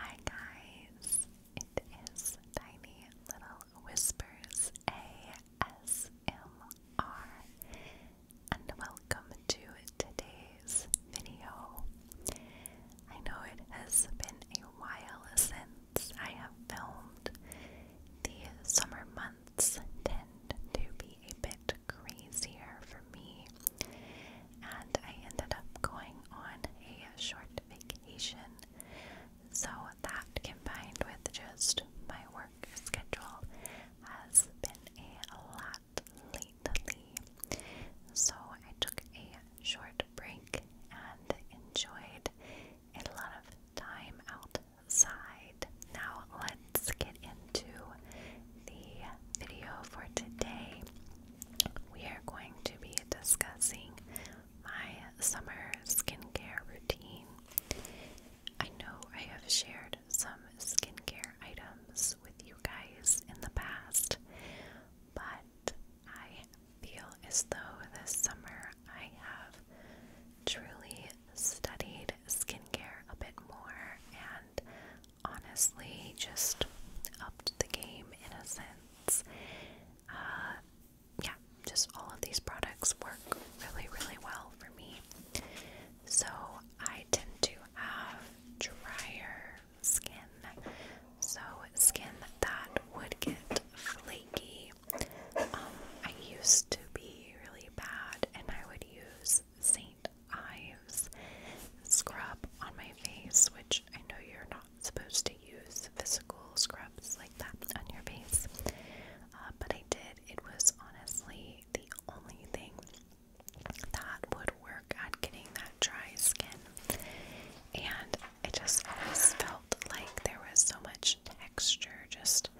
Hi guys, it is Tiny Little Whispers ASMR and welcome to today's video. I know it has been a while since I have filmed. The summer months tend to be a bit crazier for me and I ended up going on a short vacation. So that combined with just my work schedule has been a lot lately. So I took a short break and enjoyed a lot of time outside. Now let's get into the video for today, we are going to be discussing my summer skincare routine. I know I have shared some skincare items with you guys in the past, but I feel as though this summer I have truly studied skincare a bit more and honestly just upped the game in a sense. Uh, yeah, just all of these products work really, really well for me. So I tend to have drier skin, so skin that would get flaky. Um, I used to be really bad, and I would use Saint Ives scrub on my face, which I know you're not supposed to use physical scrubs like that on your face, uh, but I did. It was honestly the only thing that would work at getting that dry skin, and it just always felt like there was so much texture just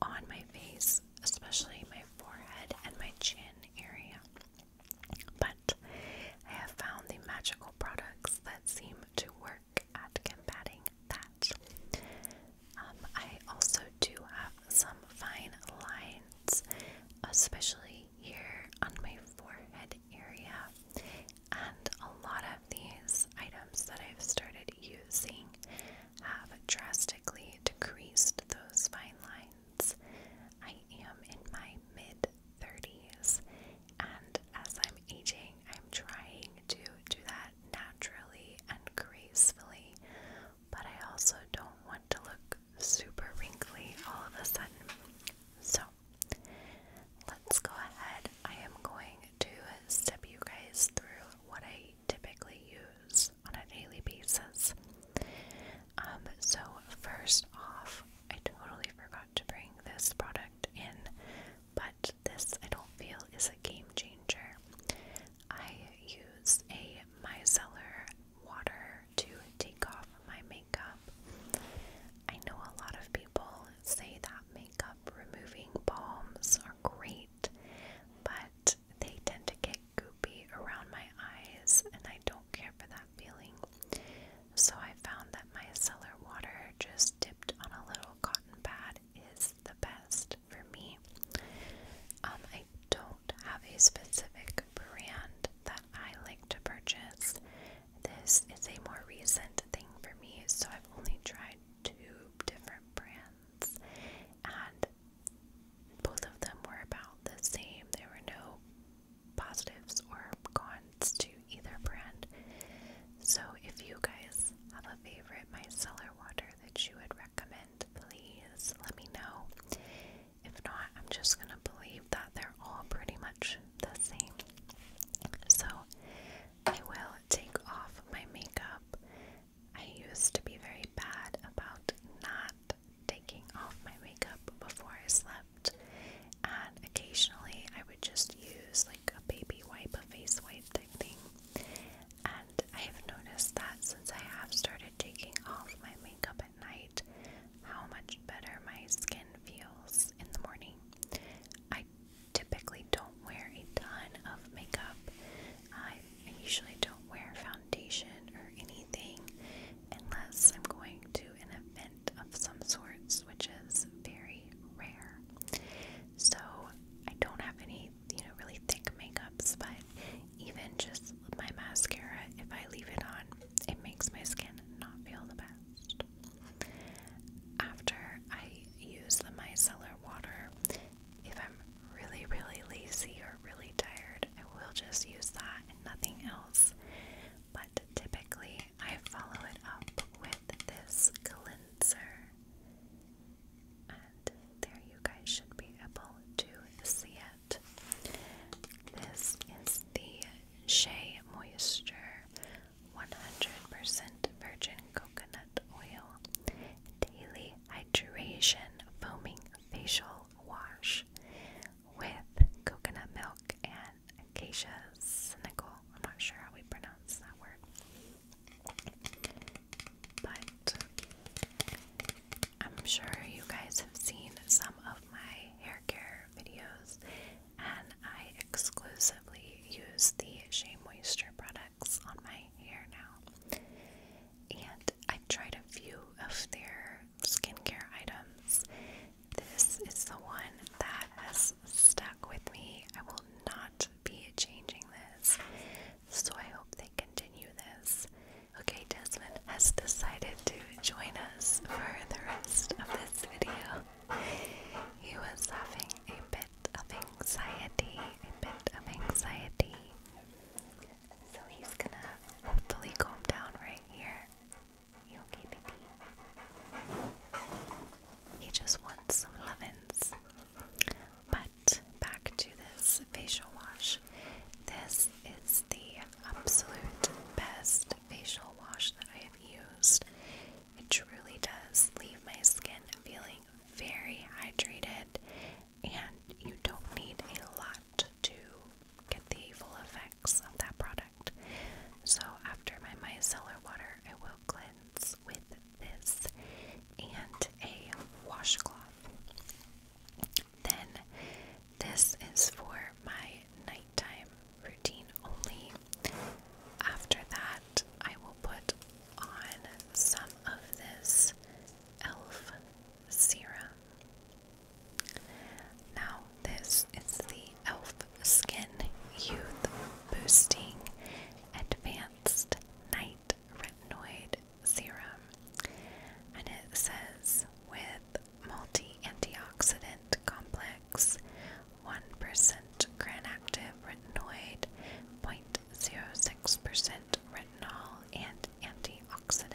on my face, especially my forehead and my chin area. But I have found the magical products that seem to work at combating that. Um, I also do have some fine lines, especially here on my forehead area, and a lot of these items that I've started using have drastically decreased those fine lines. I am in my mid 30s, and as I'm aging, I'm trying to do that naturally and gracefully, but I also don't want to look super wrinkly all of a sudden. So, let's go ahead. I am going to step you guys through what I typically use on a daily basis. Um, so first off, I totally forgot to bring this product in, but this I don't feel is a game changer. I use a micellar water to take off my makeup. I know a lot of people say that makeup removing balms are great, but they tend to get goopy around my eyes, and I don't don't care for that feeling. So I found that my cellar water, just dipped on a little cotton pad, is the best for me. Um, I don't have a specific brand that I like to purchase. This is a more recent thing for me, so I've only tried two different brands, and both of them were about the same. There were no positives or cons to either brand. So, if you guys have a favorite micellar water that you would recommend, please let me know. If not, I'm just going to believe that they're all pretty much the same. So, I will take off my makeup. I used to be very bad about not taking off my makeup before I slept, and occasionally I would just use like a baby wipe, a face wipe thing. And I have noticed that since I have started taking off my makeup at night, how much better my skin feels in the morning. I typically don't wear a ton of makeup. I usually don't wear foundation or anything unless I'm going to an event of some sorts, which is very rare. So I don't have any, you know, really thick makeups, but even just my mascara, if I leave it on, it makes my skin not feel the best. After I use the micellar water, if I'm really, really lazy or really tired, I will just use that nothing else. But typically, I follow it up with this cleanser. And there you guys should be able to see it. This is the Shea Moisture 100% Virgin Coconut Oil Daily Hydration Foaming Facial Wash with coconut milk and acacia cynical. I'm not sure how we pronounce that word. But I'm sure you guys have seen some of my hair care videos, and I exclusively use the Shea Moisture products on my hair now. And I've tried a few of their skincare items. This is the one that has stuck with me. I will not be changing this. So I hope they continue this. Okay, Desmond has decided to join us for the rest of this video. He was having a bit of anxiety, a bit of anxiety. So he's gonna hopefully calm down right here. You okay, baby? He just wants some lemons. But back to this facial wash. This is the absolute best facial wash that I have used. It truly does leave my skin feeling very hydrated, and you don't need a lot to get the full effects of that product. So after my micellar water, I will cleanse with this and a washcloth. Then this is for my nighttime routine only. After that, I will put on some of this e.l.f. serum. Now, this is the e.l.f. Skin Youth Boosting Advanced Night Retinoid Serum. And it says with multi antioxidant complex, 1% granactive retinoid, 0.06% retinol, and antioxidant.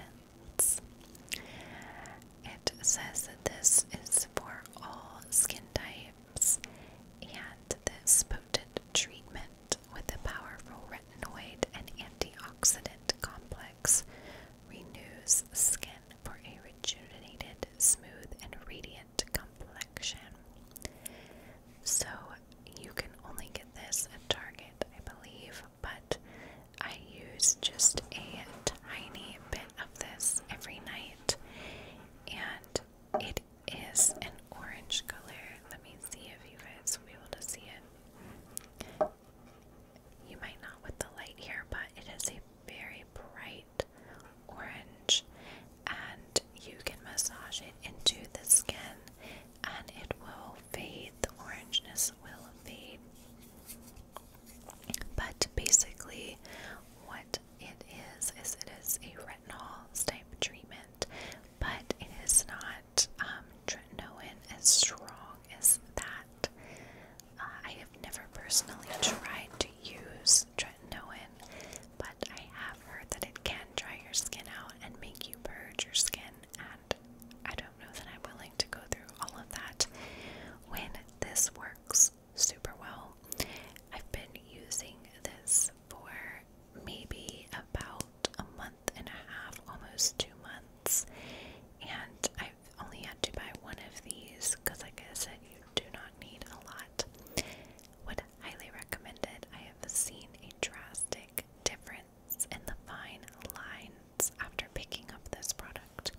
It says that this is for all skin types, and this potent treatment with a powerful retinoid and antioxidant complex renews skin for a rejuvenated, smooth, and radiant complexion. So, you can only get this at Target, I believe, but I use just a tiny bit of this every night, and it is an orange color. Let me see if you guys will be able to see it. You might not with the light here, but it is a very bright orange, and you can massage it into the skin and it will fade, the orangeness will fade. But basically, what it is is it is a retinol type treatment, but it is not um, tretinoin as strong as that. Uh, I have never personally tried to use tretinoin, but I have heard that it can dry your skin out and make you purge your skin I don't know that I'm willing to go through all of that when this works super well. I've been using this for maybe about a month and a half, almost two months, and I've only had to buy one of these because, like I said, you do not need a lot. Would highly recommend it. I have seen a drastic difference in the fine lines after picking up this product.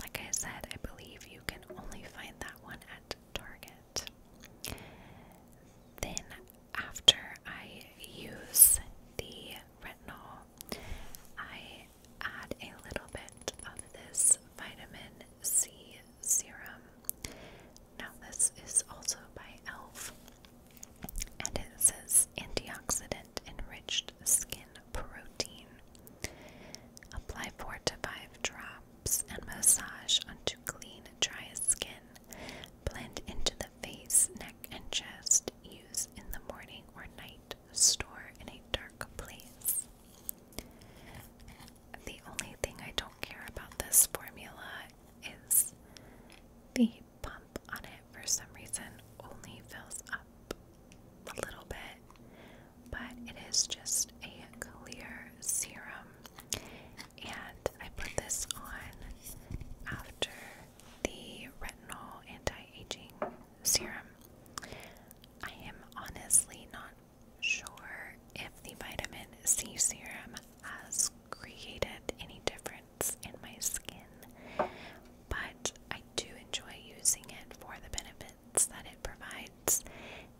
Like I said, I believe you can only find that one at Target. Then, after I use the retinol, I add a little bit of this vitamin C serum. Now, this is also by e.l.f. and it says antioxidant enriched skin protein. Apply 4 to 5 drops and massage onto clean, dry skin. Blend into the face, neck, and chest. Use in the morning or night. Store in a dark place. The only thing I don't care about this formula is the pump on it for some reason only fills up a little bit, but it is just a clear serum. And I put this on after the retinol anti aging serum. I am honestly not sure if the vitamin C serum has created any difference in my skin, but I do enjoy using it for the benefits that it provides,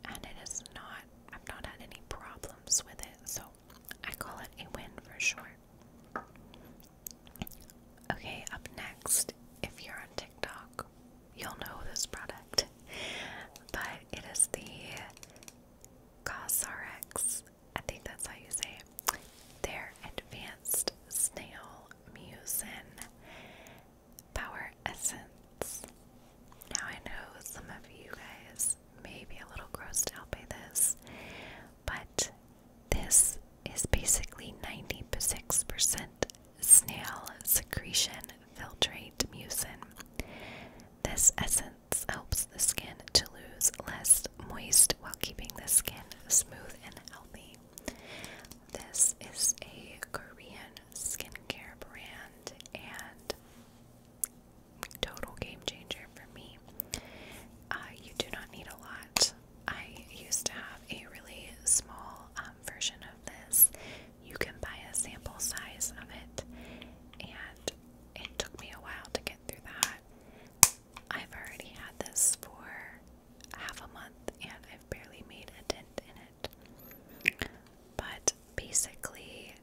and it is not, I've not had any problems with it, so I call it a win for sure. Okay, up next, if you're on TikTok, you'll know this product, but it is the Cosrx I think that's how you say Their advanced snail mucin power essence. Now I know some of you guys may be a little grossed out by this, but this is basically 96% snail secretion filtrate mucin. This essence helps the skin to lose less moist while keeping the skin smooth and healthy. This is a Korean skincare brand and total game changer for me. Uh, you do not need a lot. I used to have a really small um, version of this. You can buy a sample size of it, and it took me a while to get through that. I've already had this for half a month and I've barely made a dent in it. But basically,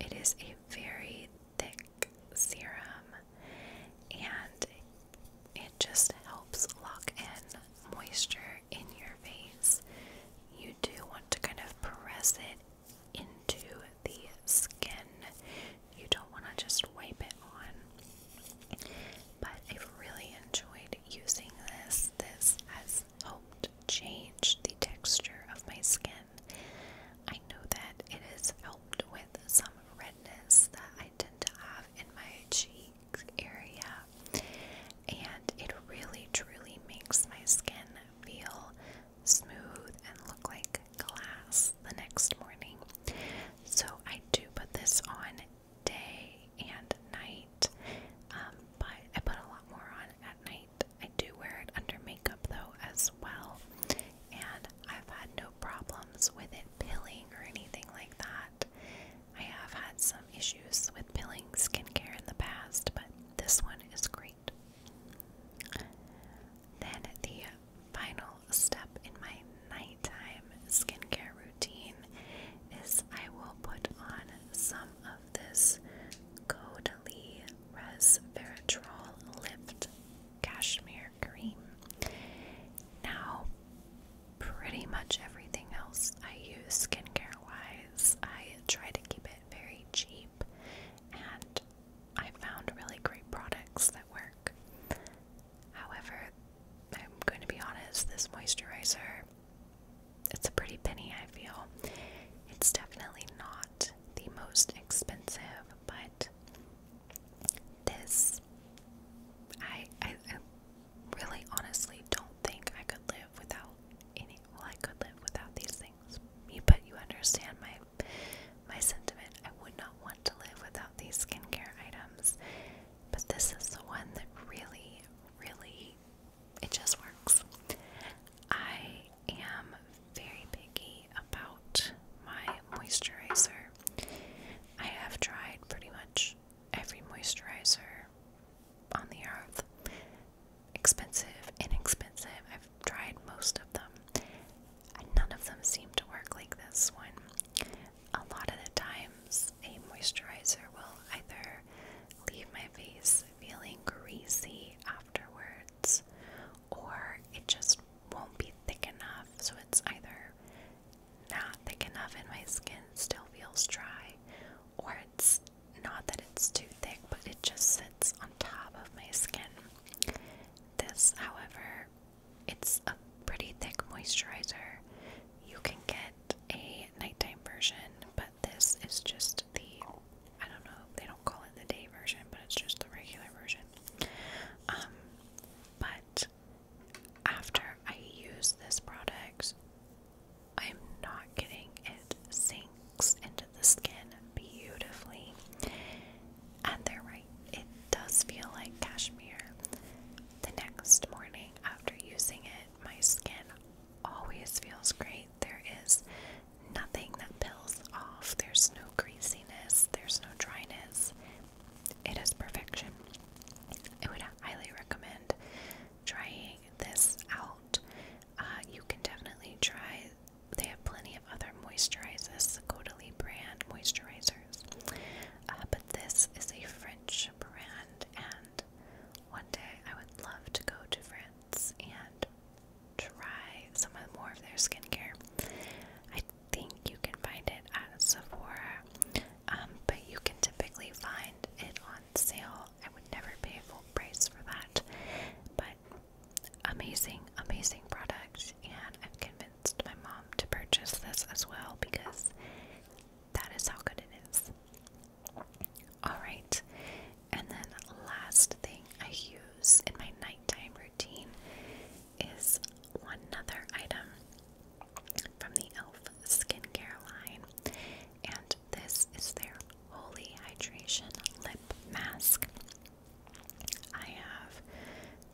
it is a very thick serum and it just helps lock in moisture in your face. You do want to kind of press it into the skin you don't want to just wipe it on. But I've really enjoyed using this. This has helped change the texture of my skin. I know that it has helped with some redness that I tend to have in my cheek area, and it really truly makes my skin feel smooth and look like glass the next morning. So I do put this on day and night, um, but I put a lot more on at night. I do wear it under makeup though as well, and I've had no problems with it pilling or anything like that. I have had some issues with pilling skincare in the past, but this one is great. Then the final step in my nighttime skincare routine is I will put on some of this Caudalie Resveratrol Lift Cashmere Cream. Now, pretty much everything else I use skincare wise, I try to keep it very cheap and I found really great products that work. However, I'm going to be honest, this moisturizer, it's a pretty penny, I feel. It's definitely not the most expensive, but this, I, I, really honestly don't think I could live without any, well, I could live without these things, but you understand my my sentiment I would not want to live without these skincare items, but this is the one that really, really, it just works. I am very picky about my moisturizer. I have tried pretty much every moisturizer on the earth. Expensive, and inexpensive. I've tried most of them none of them seem to work like this one. A lot of the times, a moisturizer will either leave my face feeling greasy afterwards, or it just won't be thick enough, so it's either not thick enough and my skin still feels dry, or it's not that it's too thick, but it just sits on top of my skin. This, however, it's a pretty thick moisturizer. You can get a nighttime version, but this is just the I don't know, they don't call it the day version, but it's just the regular version. Um, but after I use this product, I'm not kidding, it sinks into the skin beautifully. And they're right, it does feel like cashmere. The next morning after using it, my skin always feels great. There is nothing that peels off, there's no greasiness, there's no dryness. It is perfection. I would highly recommend trying this out. Uh, you can definitely try they have plenty of other moisturizers, the Caudalie brand moisturizers, uh, but this is a French brand, and one day I would love to go to France and try some of more of their skincare. I think you can find it at Sephora, um, but you can typically find it on sale. I would never pay full price for that, but amazing, amazing product, and I've convinced my mom to purchase this as well because that is how good it is. Alright, and then last thing I use in my nighttime routine is one other item from the e.l.f. skincare line, and this is their Holy Hydration Lip Mask. I have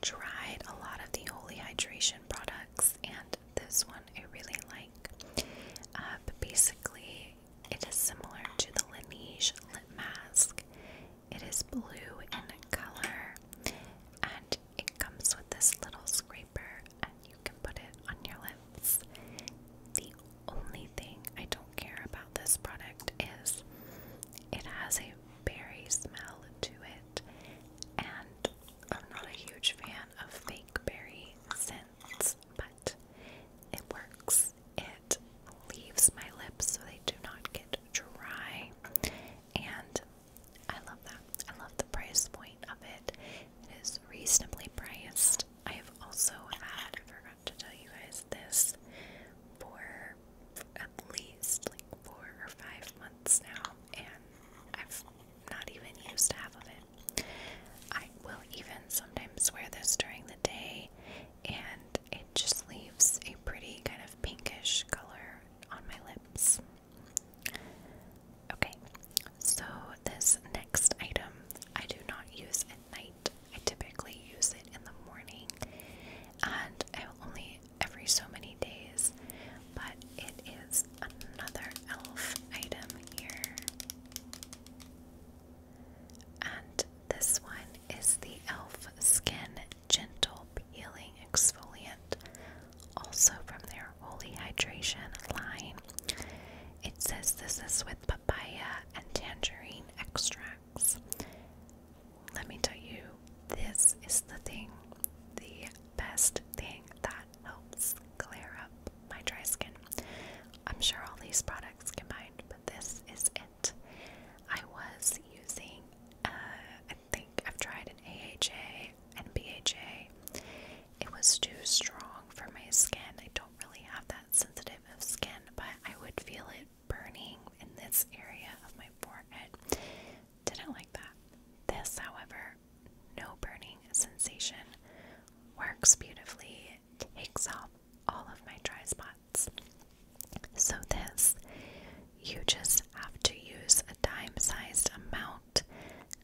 tried a lot of the Holy Hydration products, and this one I really like. Uh, basically, it is similar to the Laneige lip mask. It is blue in color, and it comes with this little scraper, and you can put it on your lips. The only thing I don't care about this product is it has a berry smell to it, and I'm not a huge fan of fake berry scents, but it works. It leaves my lips so they do not get dry, and I love that. I love the price point of it. It is reasonably priced. I have also had, forgot to tell you guys this, for least like four or five months now, and I've not even used half of it. I will even sometimes wear this during the day, and it just leaves a pretty kind of pinkish color on my lips. Okay, so this next item I do not use at night. I typically use it in the morning and only every so many days, but it is another elf item here. And this one is the Elf Skin Gentle Peeling Exfoliant, also from their Holy Hydration line. It says this is with papaya and tangerine extracts let me tell you, this is the thing, the best thing that helps clear up my dry skin. I'm sure all these products combined, but this is it. I was using, uh, I think I've tried an AHA and BHA. It was too strong for my skin. I don't really have that sensitive of skin, but I would feel it burning in this area of my forehead. Didn't like that. This, however, no burning sensation works beautifully, takes off all of my dry spots. So, this, you just have to use a dime sized amount,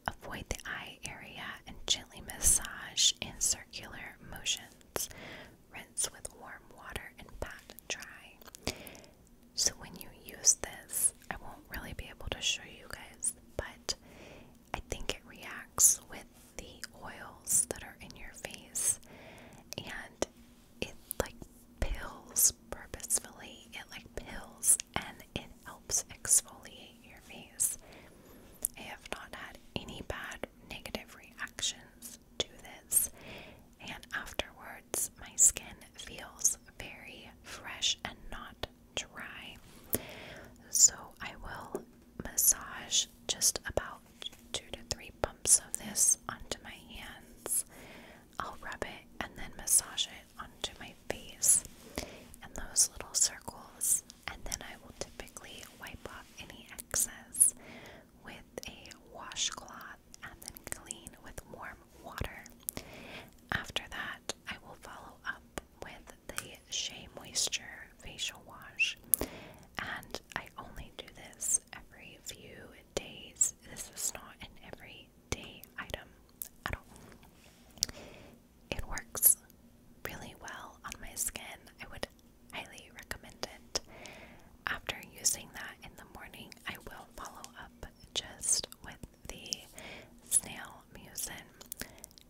avoid the eye area, and gently massage in circular motions rinse with warm water and pat dry. So when you use this, I won't really be able to show you guys, but I think it reacts with the oils that are in your face and it like pills purposefully. It like pills and it helps exfoliate your face. I have not had any bad negative reactions do this, and afterwards, my skin feels very fresh and not dry. So, I will massage just about two to three pumps of this onto my hands. I'll rub it and then massage it onto my face and those little circles, and then I will typically wipe off any excess with a washcloth and then clean with warm water. After that, I will follow up with the Shea Moisture facial wash, and I only do this every few days. This is not an everyday item at all. It works really well on my skin. I would it. Highly recommend it. After using that in the morning, I will follow up just with the snail mucin.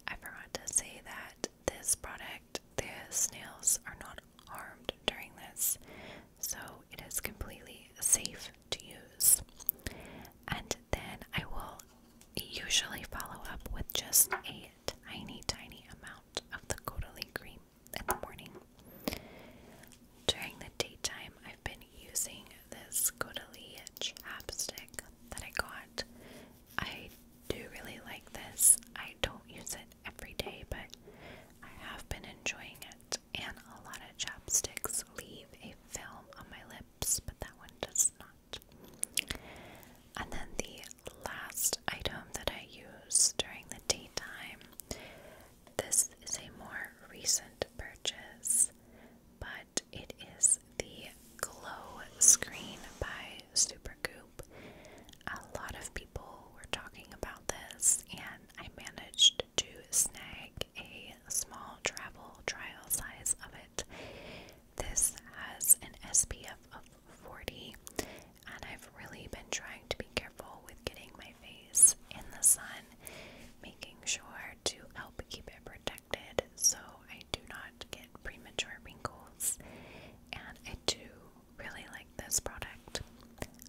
I forgot to say that this product, the snails are not harmed during this, so it is completely safe to use. And then I will usually follow up with just a tiny, tiny amount of the Caudalie cream in the morning. During the daytime, I've been using this Godalee chapstick that I got. I do really like this. I don't use it every day, but I have been enjoying it. And a lot of chapsticks leave a film on my lips, but that one does not. And then the last item that I use during the daytime. This is a more recent purchase, but it is the Glow Screen by Supergoop. A lot of people were talking about this, and I managed to snag a small travel trial size of it. This has an SPF of 40 and I've really been trying to be careful with getting my face in the sun, making sure to help keep it protected so I do not get premature wrinkles. And I do really like this product.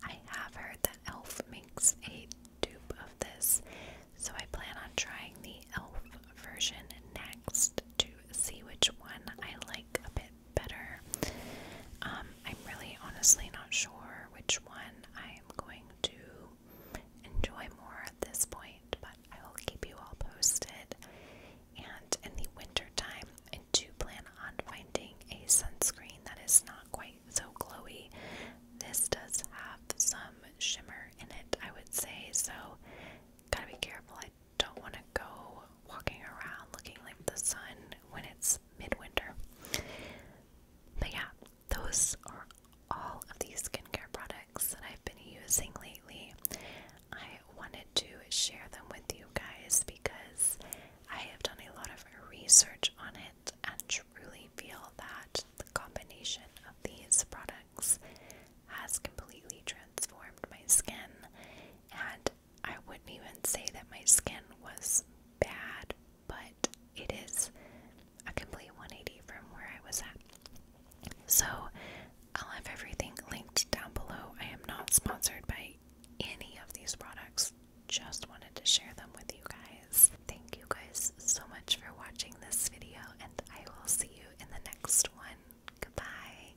I have heard that e.l.f. makes a dupe of this, so I plan on trying the e.l.f. version next to see which one I like a bit better. Um, I'm really honestly not sure which one I'm going to enjoy more at this point, but I will keep you all posted. And in the winter time, I do plan on finding a sunscreen that is not quite so glowy. This does have some shimmer in it, I would say, so gotta be careful. I don't want to go walking around looking like the sun when it's midwinter. But yeah, those are all of these skincare products that I've been using lately. I wanted to share them with you guys because I have done a lot of research on it and truly feel that the combination of these products has completely transformed my skin and I wouldn't even say that my skin was bad, but it is a complete 180 from where I was at. So I'll have everything linked down below. I am not sponsored by any of these products, just wanted to share them with you guys. Thank you guys so much for watching this video, and I will see you in the next one. Goodbye.